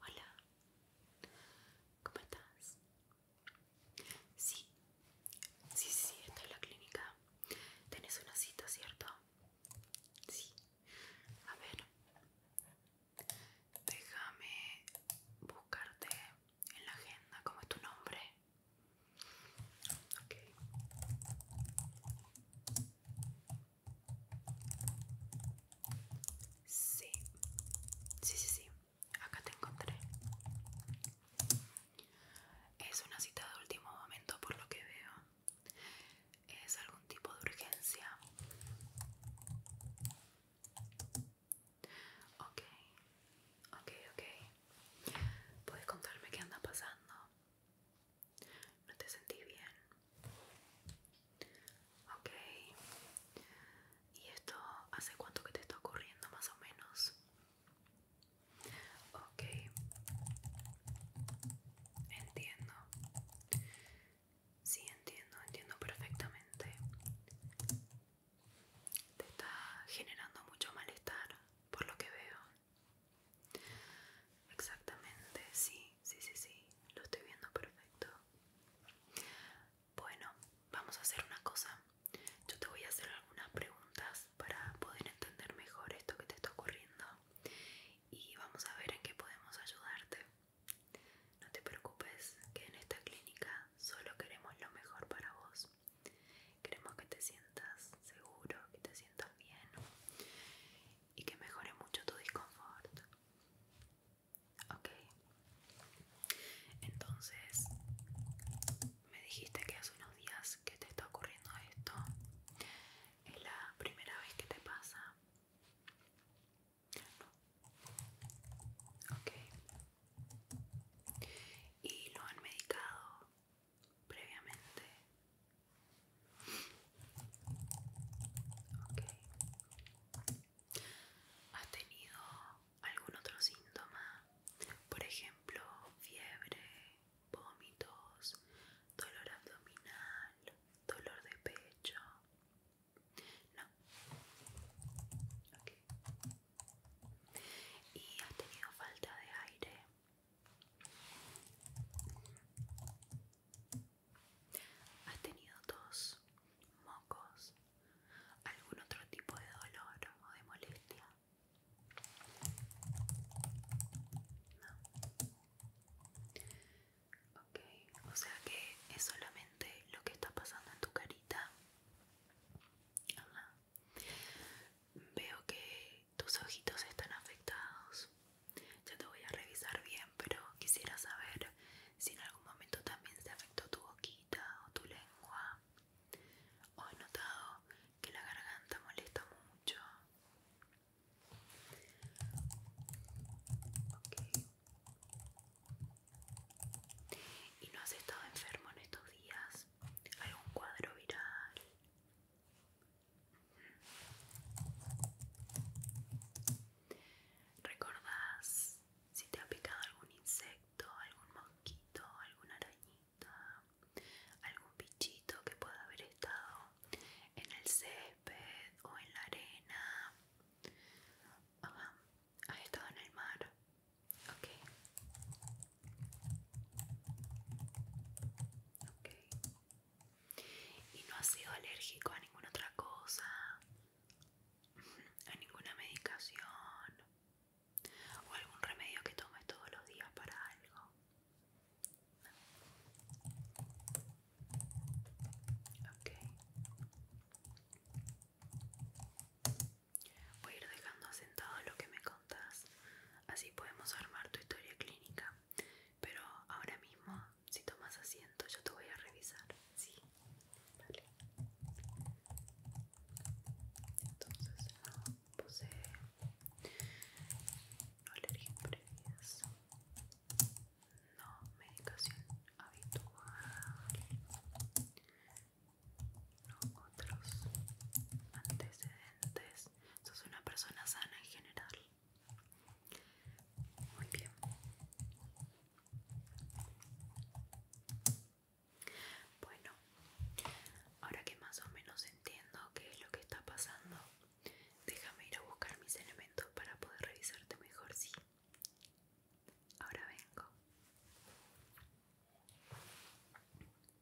Hola. ¿Cómo estás? Sí. Sí, sí, esta es la clínica. Tenés una cita, ¿cierto? Sí. A ver. Déjame buscarte en la agenda. ¿Cómo es tu nombre? Ok. Sí, sí, sí, sí. Acá te encontré. Es una cita de último momento por lo que veo. Es algún tipo de urgencia. Ok, ok, ok. ¿Puedes contarme qué anda pasando? no te sentí bien ok y esto hace cuánto que te está ocurriendo más o menos ok entiendo sí entiendo entiendo perfectamente te está generando mucho malestar por lo que veo Exactamente, sí, sí, sí, sí, lo estoy viendo perfecto. Bueno, vamos a hacer una cosa. Yo te voy a hacer algunas preguntas para poder entender mejor esto que te está ocurriendo y vamos a ver en qué podemos ayudarte. No te preocupes, que en esta clínica solo queremos lo mejor para vos. Queremos que te sientas seguro, que te sientas bien y que mejore mucho tu disconfort. Ok. Entonces, me dijiste que hace unos días que te está ocurriendo esto. ¿Es la primera vez que te pasa? okay, ¿Y lo han medicado? previamente. ¿Has tenido algún otro síntoma? Por ejemplo, fiebre, vómitos, dolor abdominal, dolor de pecho. No. ¿Y ha tenido falta de aire? ¿Has tenido dos mocos, algún otro tipo de dolor o de molestia? No. Ok, o sea que es solamente lo que está pasando en tu carita. Veo que tus ojitos están afectados. Ya te voy a revisar bien, pero quisiera saber si en algún momento también se afectó tu boquita o tu lengua. O has notado que la garganta molesta mucho. ¿Y no has estado enfermo en estos días? ¿Algún cuadro viral? ¿Recordás si te ha picado algún insecto, algún mosquito, alguna arañita, algún bichito que pueda haber estado en el césped o en la arena? ha estado en el mar. Ok. Ok y no ha sido alérgico a ninguna otra cosa, a ninguna medicación o algún remedio que tome todos los días para algo. Ok. Voy a ir dejando asentado lo que me contas, así podemos armar tu historia clínica. Pero ahora mismo, si tomas asiento, yo te voy a revisar. Sí, vale. Entonces, no ah, puse alergia alergias no medicación habitual, no otros antecedentes sos, una persona sana en general. Muy bien. Bueno, ahora que más o menos entiendo qué es lo que está pasando, déjame ir a buscar mis elementos para poder revisarte mejor, sí. Ahora vengo.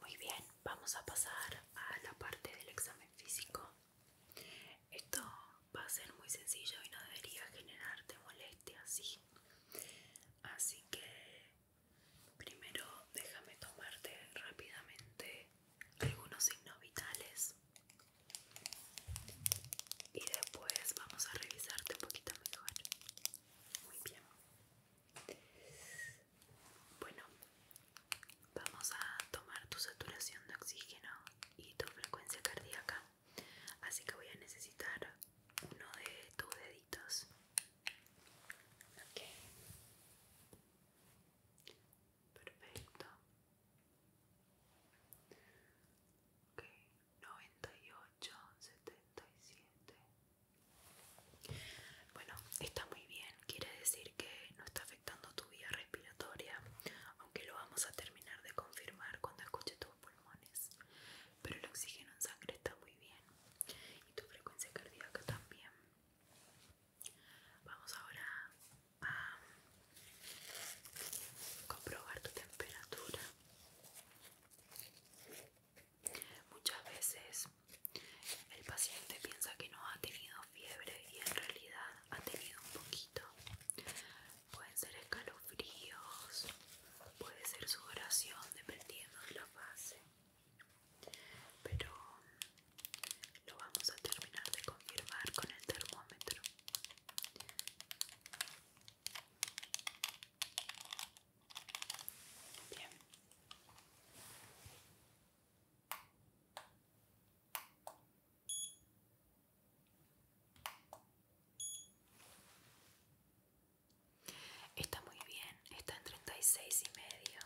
Muy bien, vamos a pasar a la parte del examen físico. Esto va a ser muy sencillo y no debería generarte molestia, Así que primero déjame tomarte rápidamente algunos signos vitales y después vamos a revisarte un poquito mejor. Muy bien. Bueno, vamos a tomar tu saturación de oxígeno y tu frecuencia cardíaca. Así que voy a necesitar uno de tus deditos. Ok Perfecto. Ok, 98, 77. Bueno, está muy bien. Quiere decir que no está afectando tu vía respiratoria, aunque lo vamos a terminar de confirmar cuando escuche tus pulmones. Pero el oxígeno en sangre está muy bien y tu frecuencia cardíaca también. Vamos ahora a comprobar tu temperatura. Muchas veces el paciente piensa que no ha tenido fiebre y en realidad ha tenido un poquito. Pueden ser escalofríos, puede ser oración dependiendo de la fase. Pero lo vamos a terminar de confirmar con el termómetro. Bien. Está muy bien, está en 36 y medio.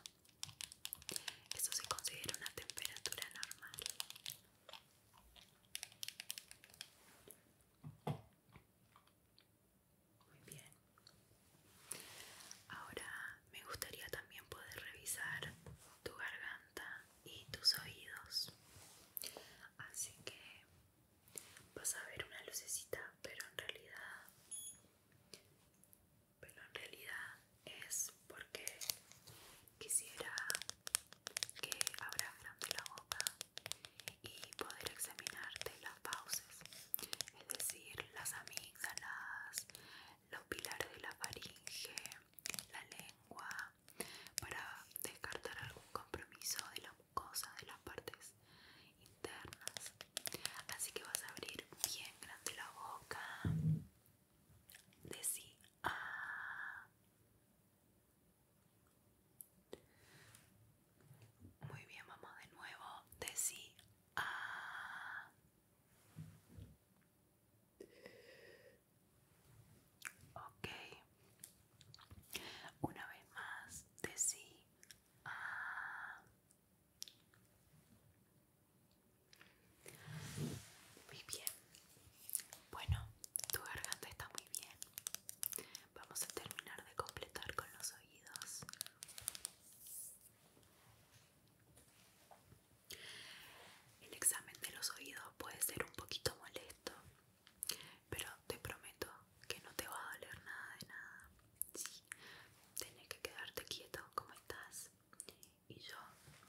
Eso se considera una temperatura normal. Muy bien. Ahora me gustaría también poder revisar tu garganta y tus oídos. Así que vas a ver una lucecita, pero en realidad pero en realidad es porque quisiera que abras la boca y poder examinarte las fauces, es decir, las amígdalas, los pilares de la faringe, la lengua para descartar algún compromiso de la mucosa de las partes internas así que vas a abrir bien grande la boca decí a ah. muy bien vamos de nuevo decí a ah. Ok. Una vez más, te si. Muy bien. Bueno, tu garganta está muy bien. Vamos a terminar de completar con los oídos. El examen de los oídos puede ser un poquito molesto, pero te prometo que no te va a doler nada de nada. Sí, que quedarte quieto como estás y yo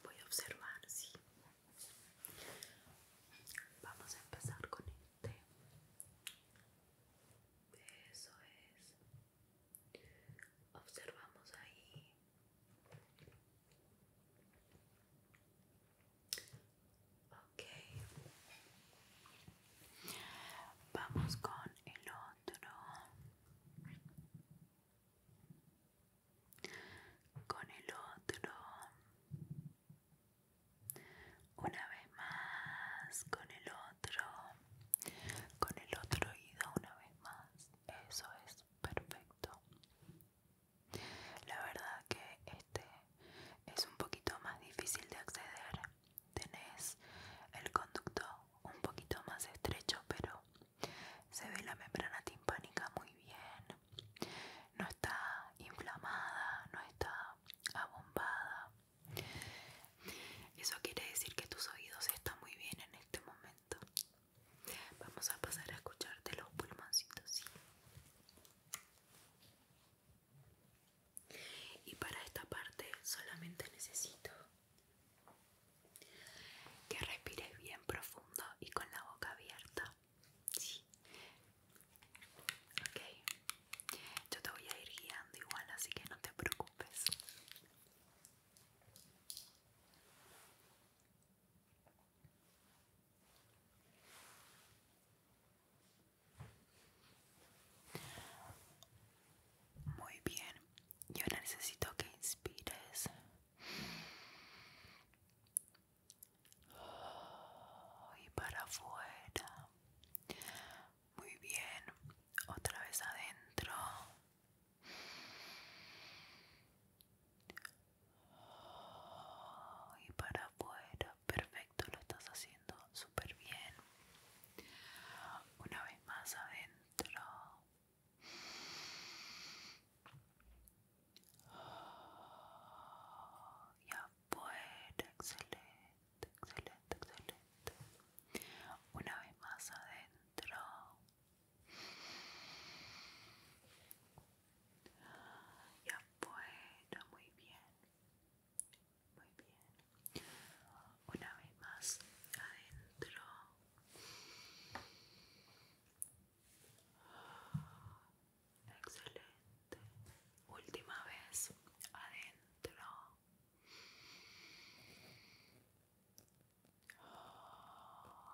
voy a observar, Vamos a empezar con este. Eso es. Observamos ahí Vamos con el otro. Con el otro. Una vez más. Con el otro. Con el otro oído una vez más. Eso es perfecto. La verdad que este es un poquito más difícil de acceder. Tenés el conducto un poquito más estrecho, pero se ve la membrana timpánica muy bien. No está inflamada, no está abombada. Eso quiere decir que tus oídos están muy bien en este momento. Vamos a pasar a escucharte los pulmoncitos, ¿sí? Y para esta parte solamente necesito que respires bien profundo y con la boca abierta. Sí. Ok. Yo te voy a ir guiando igual, así que no te preocupes. Muy bien, yo necesito que inspires. Y para afuera. Muy bien, otra vez adentro. Oh, y para afuera perfecto lo estás haciendo súper bien una vez más adentro y afuera excelente excelente excelente una vez más adentro ya afuera, muy bien. Muy bien. Una vez más, adentro. Excelente. Última vez, adentro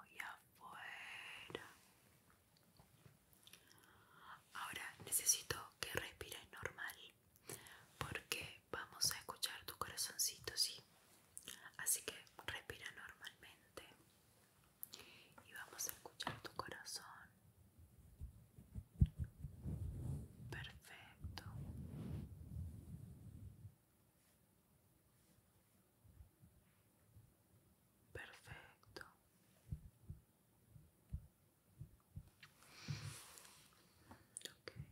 y afuera. Ahora necesito que respires normal porque vamos a escuchar tu corazoncito, ¿sí? Así que respira normalmente y vamos a escuchar tu corazón. Perfecto. Perfecto. Okay.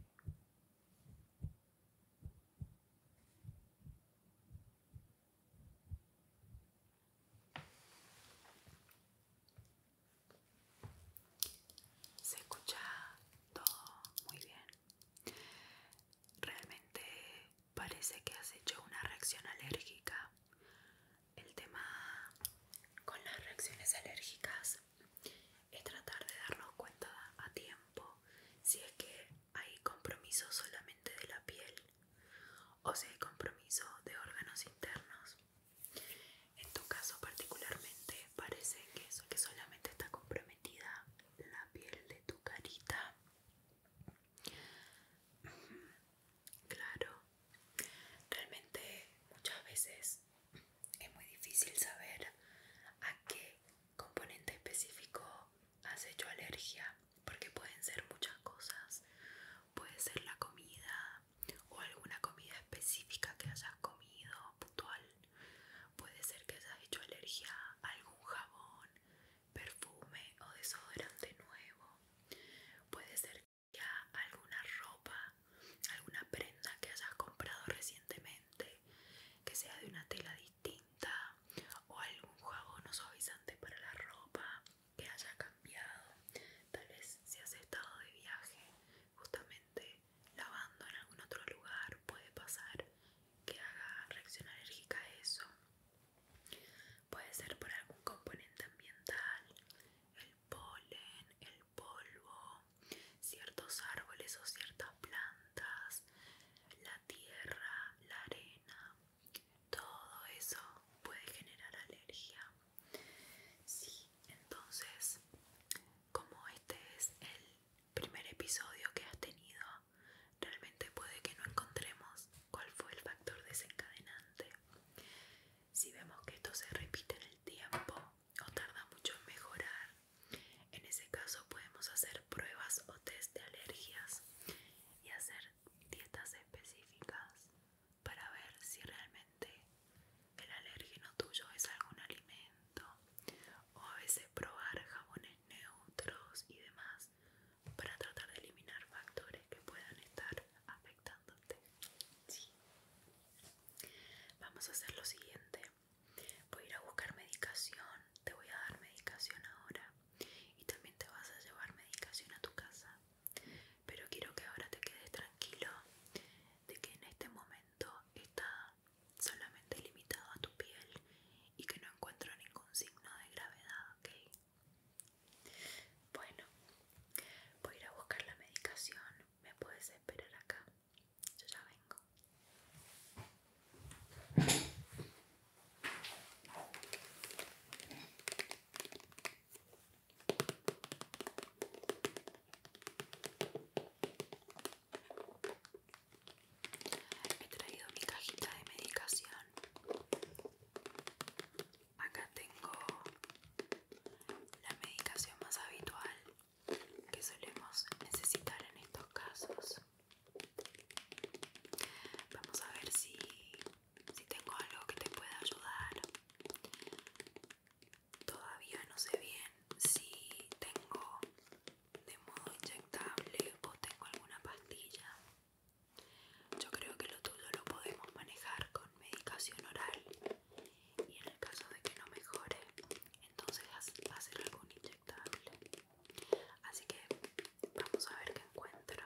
Se escucha todo muy bien. Realmente parece que has hecho una reacción alérgica. El tema con las reacciones alérgicas es tratar de darnos cuenta a tiempo si es que hay compromiso solamente de la piel o si hay compromiso de órganos internos. En tu caso particularmente parece que, que solamente está comprometida la piel de tu carita claro realmente muchas veces es muy difícil saber a qué componente específico has hecho alergia porque pueden ser muchas cosas puede ser la comida o alguna comida específica que hayas comido puntual puede ser que hayas hecho alergia a algún jabón perfume o desodorante nuevo. Puede ser ya alguna ropa, alguna prenda que hayas comprado recientemente, que sea de una tela distinta o algún jabón o suavizante para la ropa que haya cambiado. Tal vez si has estado de viaje, justamente lavando en algún otro lugar puede pasar que haga reacción alérgica a eso. Puede ser por algún componente ambiental, el polen, el polvo, ciertos árboles o ciertas plantas, la tierra, la arena. Todo eso puede generar alergia. Sí, entonces, como este es el primer episodio que has tenido Realmente puede que no encontremos cuál fue el factor desencadenante. Si vemos que esto se repite en el tiempo o tarda mucho en mejorar, en ese caso podemos hacer pruebas o test de alergias y hacer dietas específicas para ver si realmente el alérgeno tuyo es algún alimento o a veces probar jabones neutros y demás para tratar de eliminar factores que puedan estar afectándote vamos a hacer lo siguiente voy a ir a buscar medicación te voy a dar medicación ahora y también te vas a llevar medicación a tu casa pero quiero que ahora te quedes tranquilo de que en este momento está solamente limitado a tu piel y que no encuentro ningún signo de gravedad, ¿ok? Bueno, voy a ir a buscar la medicación. ¿Me puedes esperar acá? Yo ya vengo. He traído mi cajita de medicación. Acá tengo la medicación más habitual que solemos necesitar en estos casos. Vamos a ver si, si tengo algo que te pueda ayudar. Todavía no sé bien si tengo de modo inyectable o tengo alguna pastilla. Yo creo que lo todo lo podemos manejar con medicación oral y en el caso de que no mejore, entonces va algún inyectable. Así que vamos a ver qué encuentro.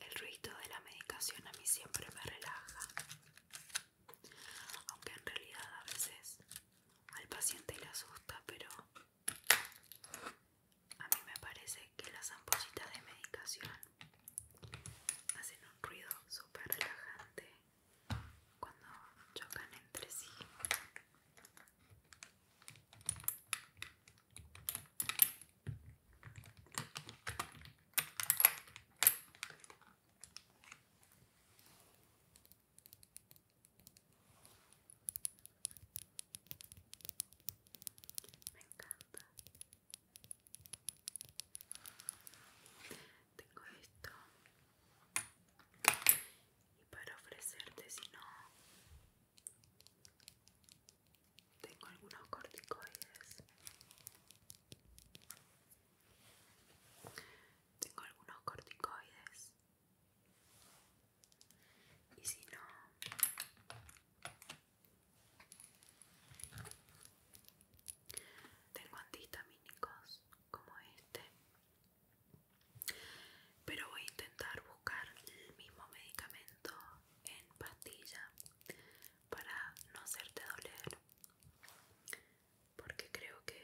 El ruido de la medicación a mí siempre me relaja, aunque en realidad a veces al paciente le asusta, pero a mí me parece que las ampollitas de medicación hacen un ruido súper relajante cuando chocan entre sí. Me encanta tengo esto y para ofrecerte si no tengo algunos corticoides tengo algunos corticoides y si no tengo antihistamínicos como este pero voy a intentar buscar el mismo medicamento en pastilla para no hacerte doler. Porque creo que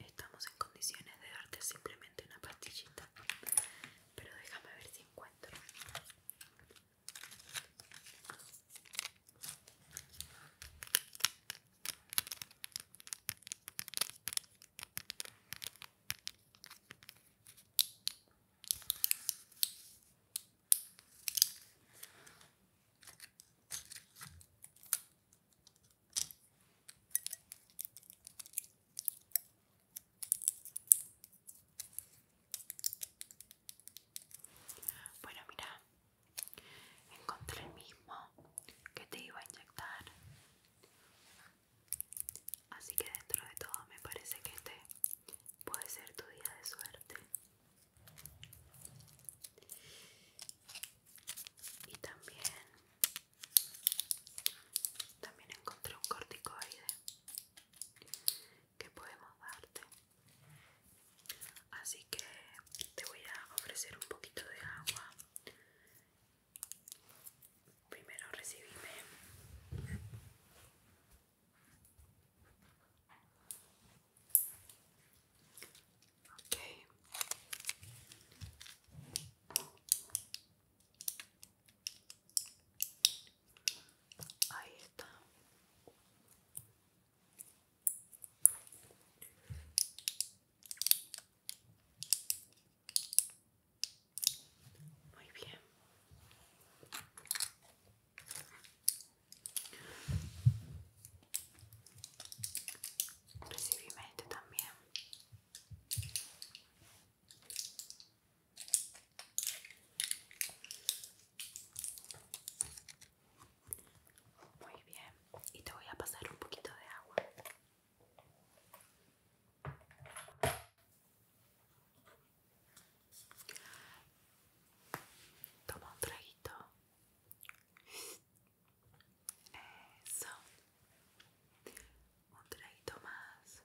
estamos en condiciones de darte simplemente una pastillita. Pero déjame ver si encuentro. Bueno, mira, Encontré el mismo que te iba a inyectar. Así que dentro de todo me parece que este puede ser tu día de suerte. Y también también encontré un corticoide que podemos darte así que te voy a ofrecer un poquito de agua primero recibime ok Ahí está. Muy bien. Recibime también. Muy bien, y te voy a pasar un poquito de agua. Toma un traguito. Eso. Un traguito más.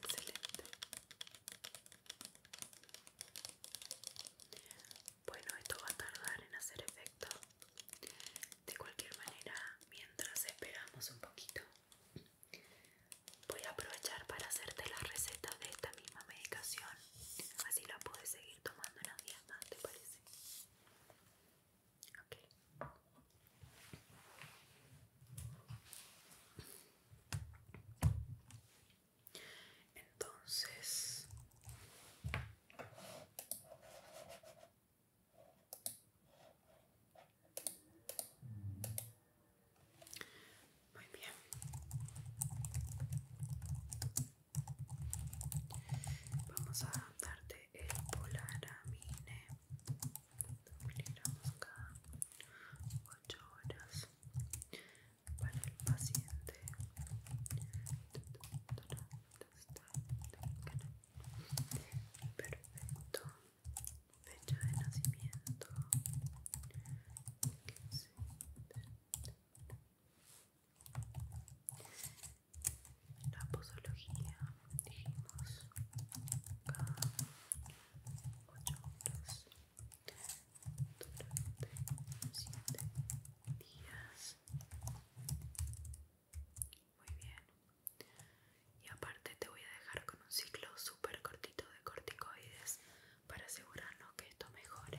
Excelente. Bueno, esto va a tardar en hacer efecto. De cualquier manera, mientras esperamos un poquito, voy a aprovechar para hacerte la receta de esta misma medicación Así la puedes seguir tomando la días ¿te parece? Entonces... Muy bien. Vamos a darte el polaramine. Miligramos cada ocho horas para el paciente. Perfecto. Fecha de nacimiento. La posología, dijimos, cada 8 horas durante 7 días. Muy bien. Y aparte te voy a dejar con un ciclo súper cortito de corticoides para asegurarnos que esto mejore.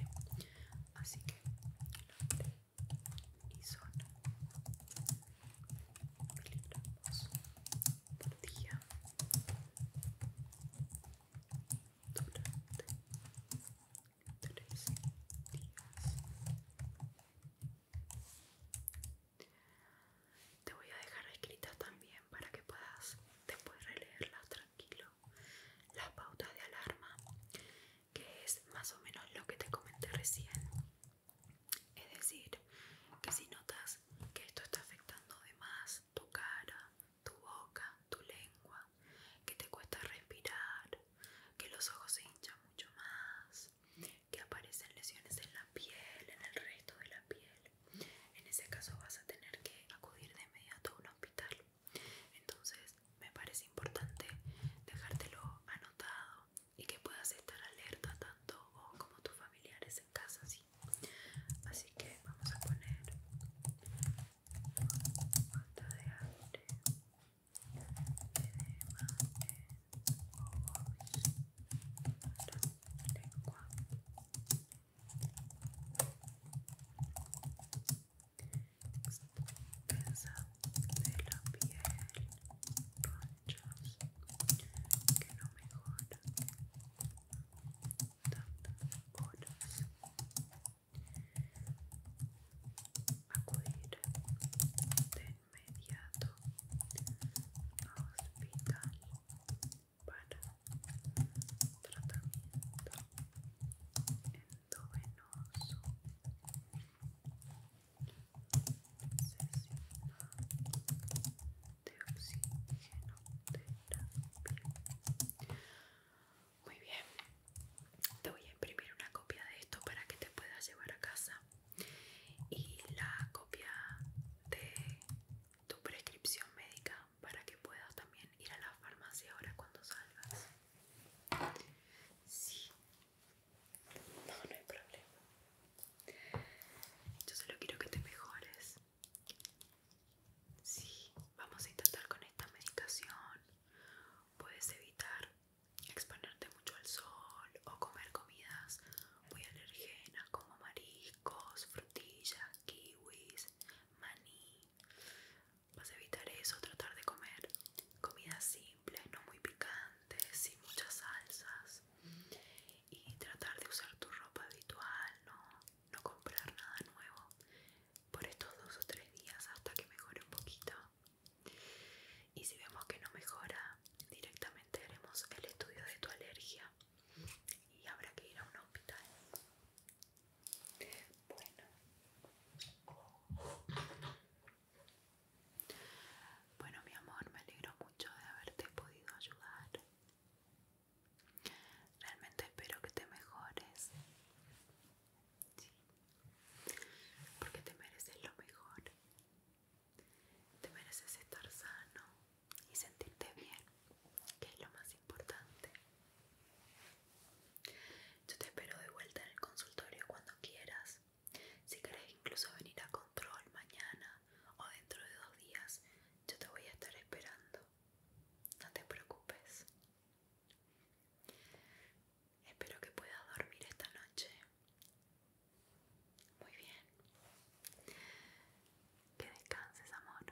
Así que nombre y zona miligramos por día durante tres días. Te voy a dejar escrita también para que puedas después releerlas las pautas de alarma, que es más o menos lo que te comenté recién. Es decir, que si notas que esto está afectando de más tu cara, tu boca, tu lengua, que te cuesta respirar, que los ojos se hinchan mucho más, que aparecen lesiones en la piel, en el resto de la piel, en ese caso vas a tener que acudir de inmediato a un hospital. Entonces me parece importante dejártelo anotado y que puedas estar alerta tanto como tus familiares en casa, Así que vamos a poner de aire, Extensa de la piel, ronchas que no mejoran tantas horas. Acudir de inmediato a hospital para tratamiento endovenoso sesión de oxígeno terapia muy bien te voy a imprimir una copia de esto para que te puedas llevar a casa y la copia de tu prescripción médica para que puedas también ir a la farmacia ahora cuando salgas. Sí. No, no hay problema. Yo solo quiero que te mejores. Sí, vamos a intentar con esta medicación. Puedes evitar exponerte mucho al sol o comer comidas muy alergenas como mariscos, frutillas, kiwis, maní, Vas a evitar eso, tratar de comer comida simple, no muy picante, sin muchas salsas. Y tratar de usar tu ropa habitual, no, no comprar nada nuevo por estos dos o tres días hasta que mejore un poquito. Y si vemos que no mejora, directamente haremos el estudio de tu alergia y habrá que ir a un hospital. Bueno. Bueno, mi amor, me alegro mucho de haberte podido ayudar. Realmente espero que te mejores. Porque te mereces lo mejor. Te mereces estar sano y sentirte bien que es lo más importante. Yo te espero de vuelta en el consultorio cuando quieras. Si querés incluso venir a control mañana o dentro de dos días, yo te voy a estar esperando. No te preocupes. Espero que puedas dormir esta noche. Muy bien. Que descanses, amor.